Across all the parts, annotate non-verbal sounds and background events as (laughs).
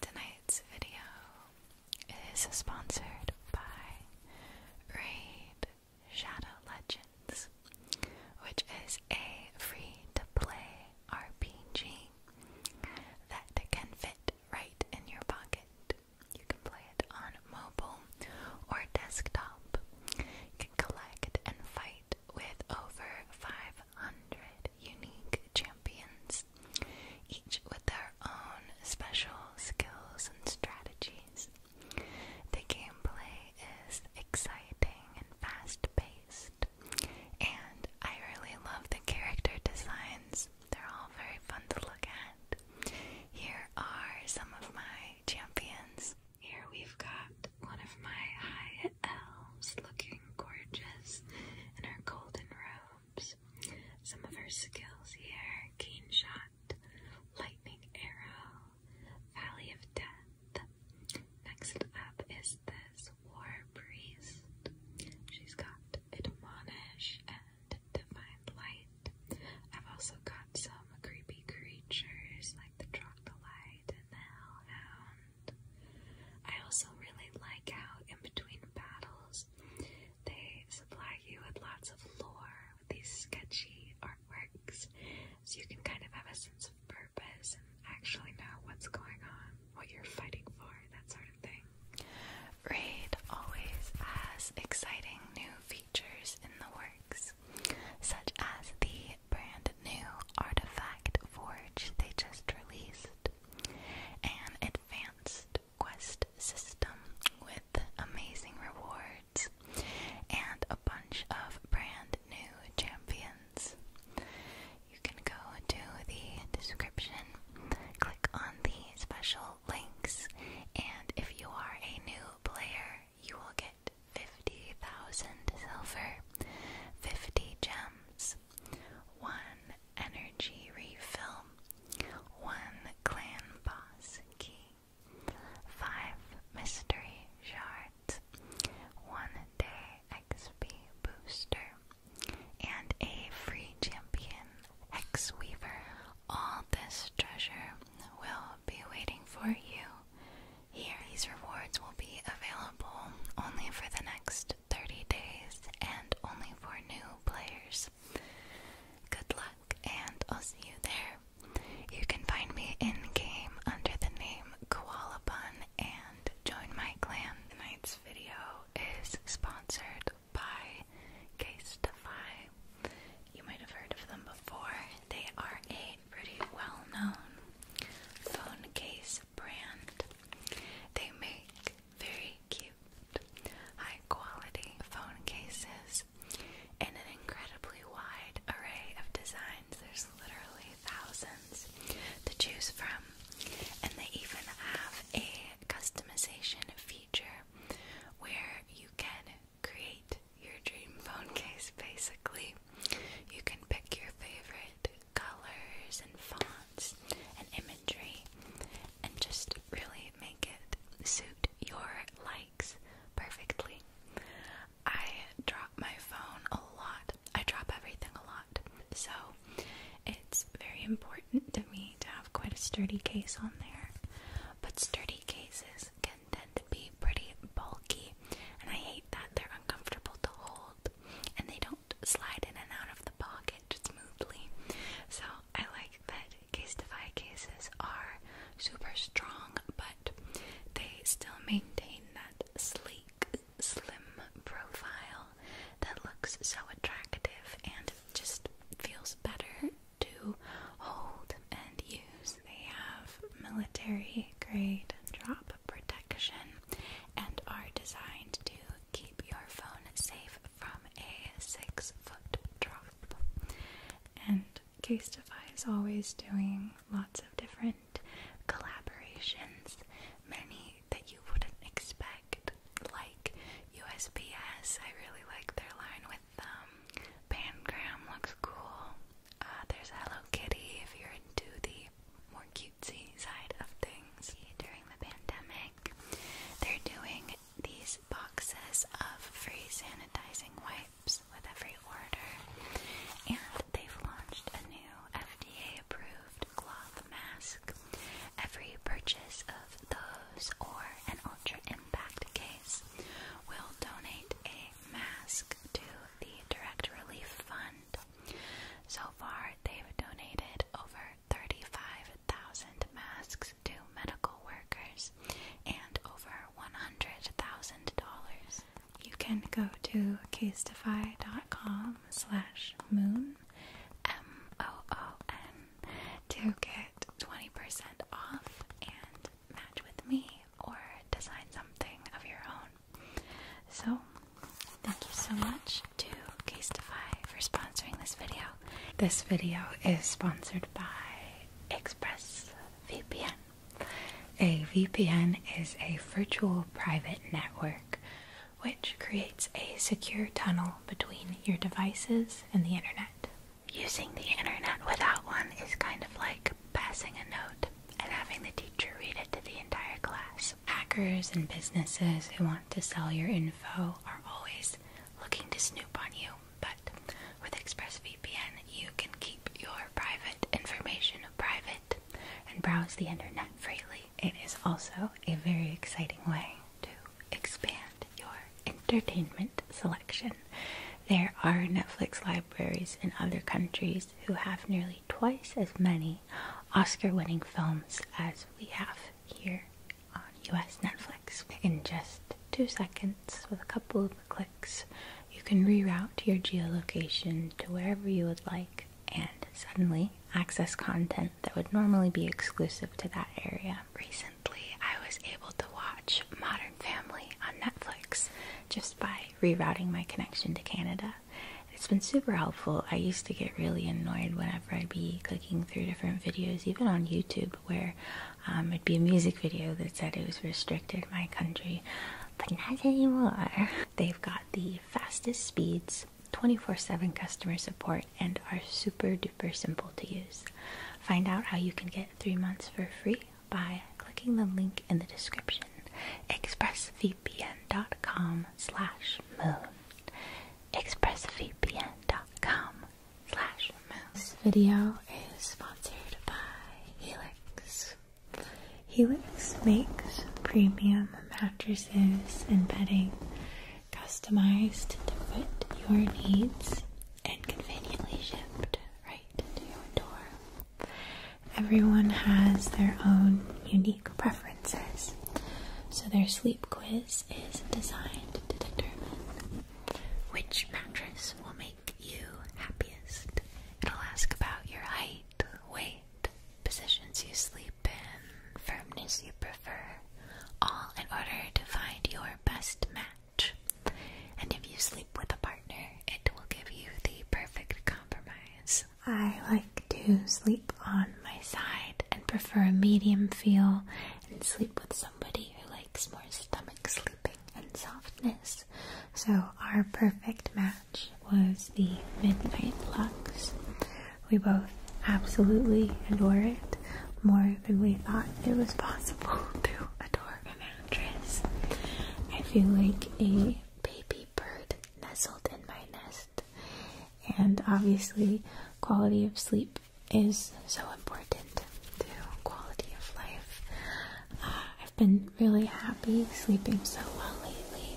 Tonight's video is sponsored by Raid Shadow Legends, which is a free to play RPG that can fit right in your pocket. You can play it on mobile or desktop. You can collect and fight with over 500 500 unique champions, each with their own special skills and strategies. The gameplay is exciting and fast paced, and I really love the character designs. They're all very fun to look at. Here are some of my champions. Here we've got one of my high elves looking gorgeous in her golden robes. Some of her skills here keen shot, lightning arrow, valley of death. Next up is this war priest. She's got admonish and divine light. I've also got some creepy creatures like the troglodyte and the hellhound. I also really like how, in between battles, they supply you with lots of lore with these sketchy artworks, so you can kind of have a sense of purpose and actually know what's going on, what you're fighting for, that sort of thing. Raid always has exciting new features in the works, such as the brand new Artifact Forge they just released. Quest, advanced quest system with amazing rewards, and a bunch of brand new champions. You can go to the description, click on the special links, and if you are a new player, you will get 50,000 silver, 50 gems, one energy refill, one clan boss key, five mystery shards, one day XP booster, and a free champion X Weaver. All this treasure will be waiting for you. Here, these rewards will be available only for the next 30 days and only for new players. Good luck, and I'll see you there. You can find me in game under the name Koala and join my clan. Tonight's video is sponsored by Casetify. You might have heard of them before. They are a pretty well known phone case brand. They make very cute, high quality phone cases in an incredibly wide array of designs. There's literally thousands to choose from, and they even have a customization feature where you can create your dream phone case basically. You can pick your favorite colors and fonts and imagery and just really make it suit your likes perfectly. I drop my phone a lot. I drop everything a lot. So it's very important to me to have quite a sturdy case on there. But sturdy cases can tend to be pretty bulky, and I hate that they're uncomfortable to hold and they don't slide in and out of the pocket smoothly. So I like that Case Defy cases are super strong, but they still maintain that sleek, slim profile that looks so attractive and just feels better to hold and use. They have military grade drop protection and are designed to keep your phone safe from a six foot drop. And Casetify is always doing lots of different collaborations, many that you wouldn't expect, like USPS. I really like their line with them. Um, Pangram looks cool. Uh, there's Hello Kitty if you're into the more cutesy side of things. During the pandemic, they're doing these boxes of free sanitizing wipes with every order, and they've launched a new FDA approved cloth mask. Every purchase of those or an Ultra Impact case will donate a mask to the Direct Relief Fund. So far, they've donated over 35,000 masks to medical workers and over $100,000. You can go to casetify.com slash moon, M-O-O-N, to get 20% off and match with me or design something of your own so, thank you so much to Casetify for sponsoring this video. This video is sponsored by ExpressVPN. A VPN is a virtual private network which creates a secure tunnel between your devices and the internet. Using the internet without one is kind of like passing a note and having the teacher read it to the entire class hackers and businesses who want to sell your info are always looking to snoop on you. But with ExpressVPN, you can keep your private information private and browse the internet freely. It is also a very exciting way to expand your entertainment selection. There are Netflix libraries in other countries who have nearly twice as many Oscar winning films as we have here on US Netflix. In just two seconds, with a couple of clicks, you can reroute your geolocation to wherever you would like and suddenly access content that would normally be exclusive to that area. Recently, I was able to watch Modern Family on Netflix just by rerouting my connection to Canada. It's been super helpful. I used to get really annoyed whenever I'd be clicking through different videos, even on YouTube, where um, it'd be a music video that said it was restricted in my country, but not anymore. (laughs) They've got the fastest speeds, 24 7 customer support, and are super duper simple to use. Find out how you can get three months for free by clicking the link in the description expressvpn.com slash moon. expressvpn.com slash moon. This video is sponsored by Helix. Helix makes premium mattresses and bedding customized to fit your needs and conveniently shipped right to your door everyone has their own unique preferences. So their sleep quiz is designed to determine which mattress will make you happiest. It'll ask about your height, weight, positions you sleep in, firmness you prefer, all in order to find your best match. And if you sleep with a partner, it will give you the perfect compromise. I like to sleep on my side and prefer a medium feel and sleep with somebody who likes more stomach sleeping and softness. So, our perfect match was the Midnight Lux. We both absolutely adore it more than we thought it was possible (laughs) to adore an mattress. I feel like a baby bird nestled in my nest. And obviously, quality of sleep is so important to quality of life. Uh, I've been really happy sleeping so well lately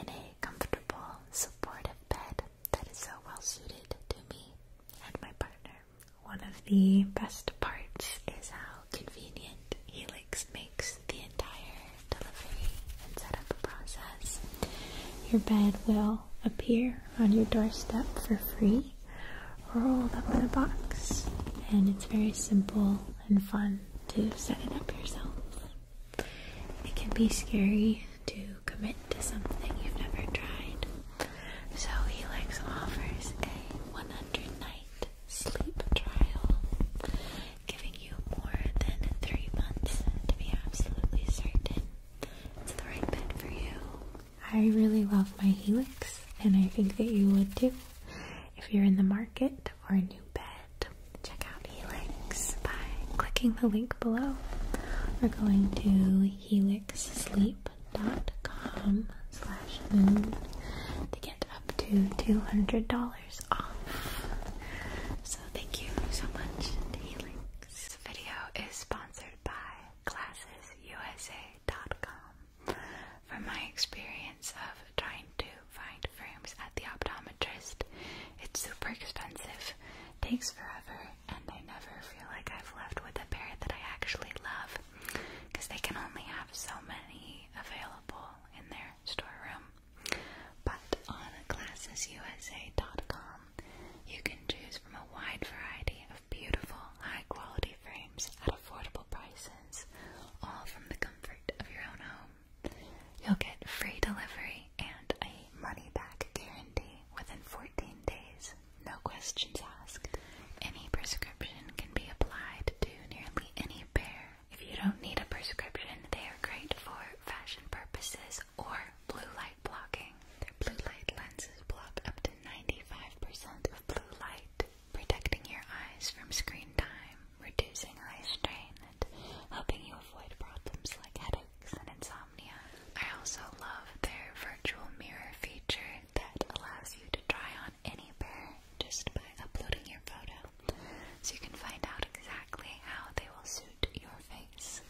in a comfortable, supportive bed that is so well suited to me and my partner. One of the best parts is how convenient Helix makes the entire delivery and setup process. Your bed will appear on your doorstep for free, rolled up in a box, and it's very simple and fun to set it up yourself. It can be scary to commit to something you've never tried. So Helix offers a 100 night sleep trial, giving you more than three months to be absolutely certain it's the right bed for you. I really love my Helix, and I think that you would too. If you're in the market for a new bed, check out Helix by clicking the link below We're going to helixsleep.com slash moon to get up to $200 so thank you so much to Helix. This video is sponsored by GlassesUSA.com. From my experience of trying to find frames at the optometrist, it's super expensive, takes forever, and I never feel like I've left with a pair that I actually love because they can only have so many available in their storeroom. But on ClassesUSA.com, you can choose from a wide variety of beautiful, high quality frames at affordable prices, all from the comfort of your own home. You'll get free delivery and a money back guarantee within 14 days, no questions asked. Any prescription can be applied to nearly any pair if you don't need a prescription, they are great for fashion purposes or blue light blocking. Their blue light lenses block up to 95% of blue light, protecting your eyes from screen time, reducing eye strain, and helping you avoid problems like headaches and insomnia. I also love their virtual mirror feature that allows you to try on any pair just by uploading your photo so you can find out exactly how they will suit your face.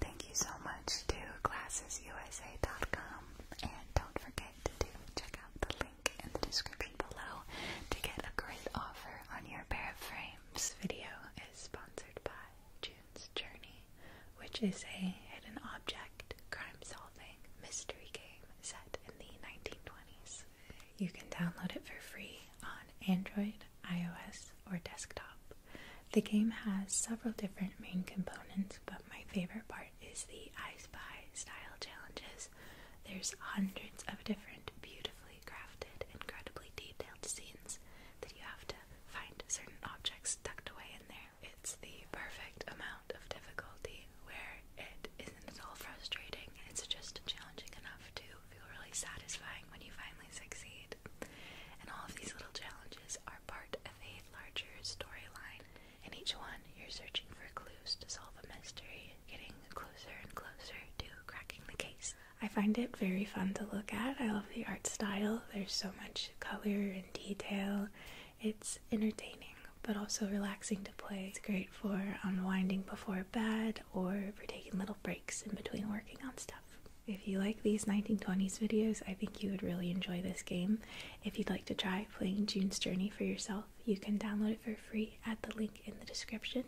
Thank you so much to GlassesUSA.com, and don't forget to check out the link in the description below to get a great offer on your pair of frames. Video is sponsored by June's Journey, which is a hidden object crime-solving mystery game set in the 1920s. You can download it for free on Android, iOS, or desktop. The game has several different main components, but my favorite part is the I Spy style challenges. There's hundreds of different beautifully crafted, incredibly detailed scenes that you have to find certain objects tucked away in there. It's the perfect amount of difficulty where it is and it's all frustrating. It's just challenging enough to feel really satisfying when you finally succeed. And all of these little challenges are part of a larger storyline. In each one, you're searching for clues to solve a mystery, getting closer and closer to cracking the case. I find it very fun to look at. I love the art style. There's so much color and detail. It's entertaining but also relaxing to play. It's great for unwinding before bed or for taking little breaks in between working on stuff. If you like these 1920s videos, I think you would really enjoy this game. If you'd like to try playing June's Journey for yourself, you can download it for free at the link in the description.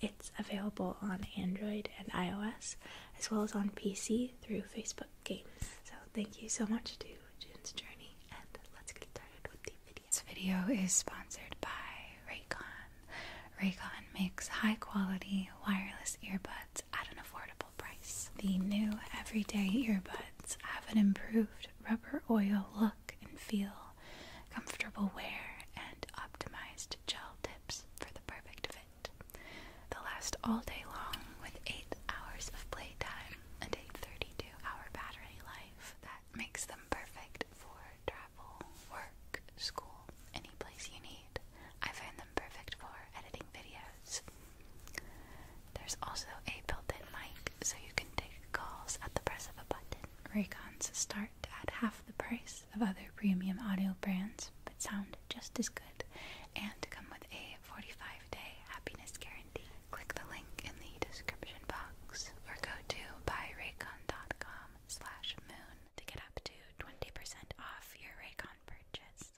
It's available on Android and iOS, as well as on PC through Facebook Games. So thank you so much to June's Journey, and let's get started with the this video is sponsored by Raycon. Raycon makes high quality wireless earbuds at an affordable price. The new everyday earbuds have an improved rubber oil look and feel, comfortable wear, and optimized gel tips for the perfect fit. they last all day long with 8 hours of playtime and a 32 hour battery life makes them perfect for travel, work, school, any place you need. I find them perfect for editing videos. There's also a built-in mic, so you can take calls at the press of a button. Raycons start at half the price of other premium audio brands, but sound just as good and come with a 45-day happiness guarantee. Click the link in the description box or go to buyraycon.com slash moon to get up to 20% off your Raycon purchase.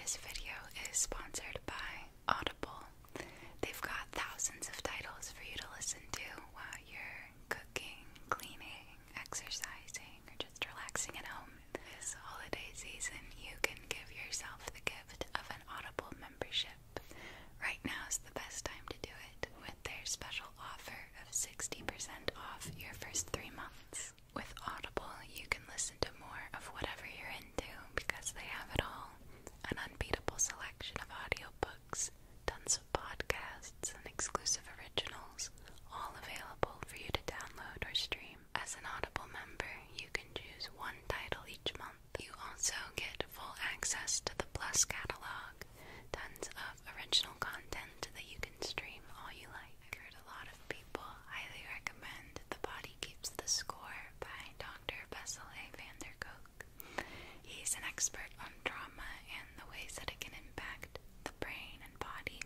This video is sponsored by Audible. They've got thousands of titles for you to listen to while you're cooking, cleaning, exercising, or just relaxing at home. This holiday season, you can give yourself the gift of an Audible membership Right now is the best time to do it with their special offer of 60% off your first three months. With Audible, you can listen to more of whatever you're into because they have it all an unbeatable selection of audiobooks, tons of podcasts, and exclusive originals, all available for you to download or stream. As an Audible member, you can choose one title each month you also get full access to the Plus catalog, tons of original content that you can stream all you like. a lot of people highly recommend The Body Keeps the Score by Dr. Bessel van der Kolk. He's an expert on trauma and the ways that it can impact the brain and body,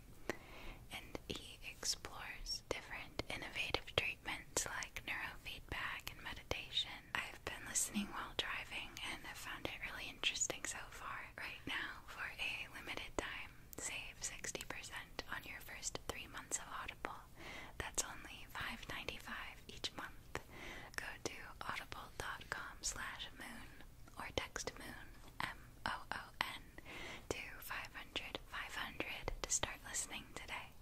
and he explores different innovative treatments like neurofeedback and meditation I've been listening while driving and i have found it really interesting so far. Right now, for a limited time, save 60% on your first three months of Audible. That's only $5.95 each month. Go to audible.com slash moon or text moon, M-O-O-N, to 500 to start listening today.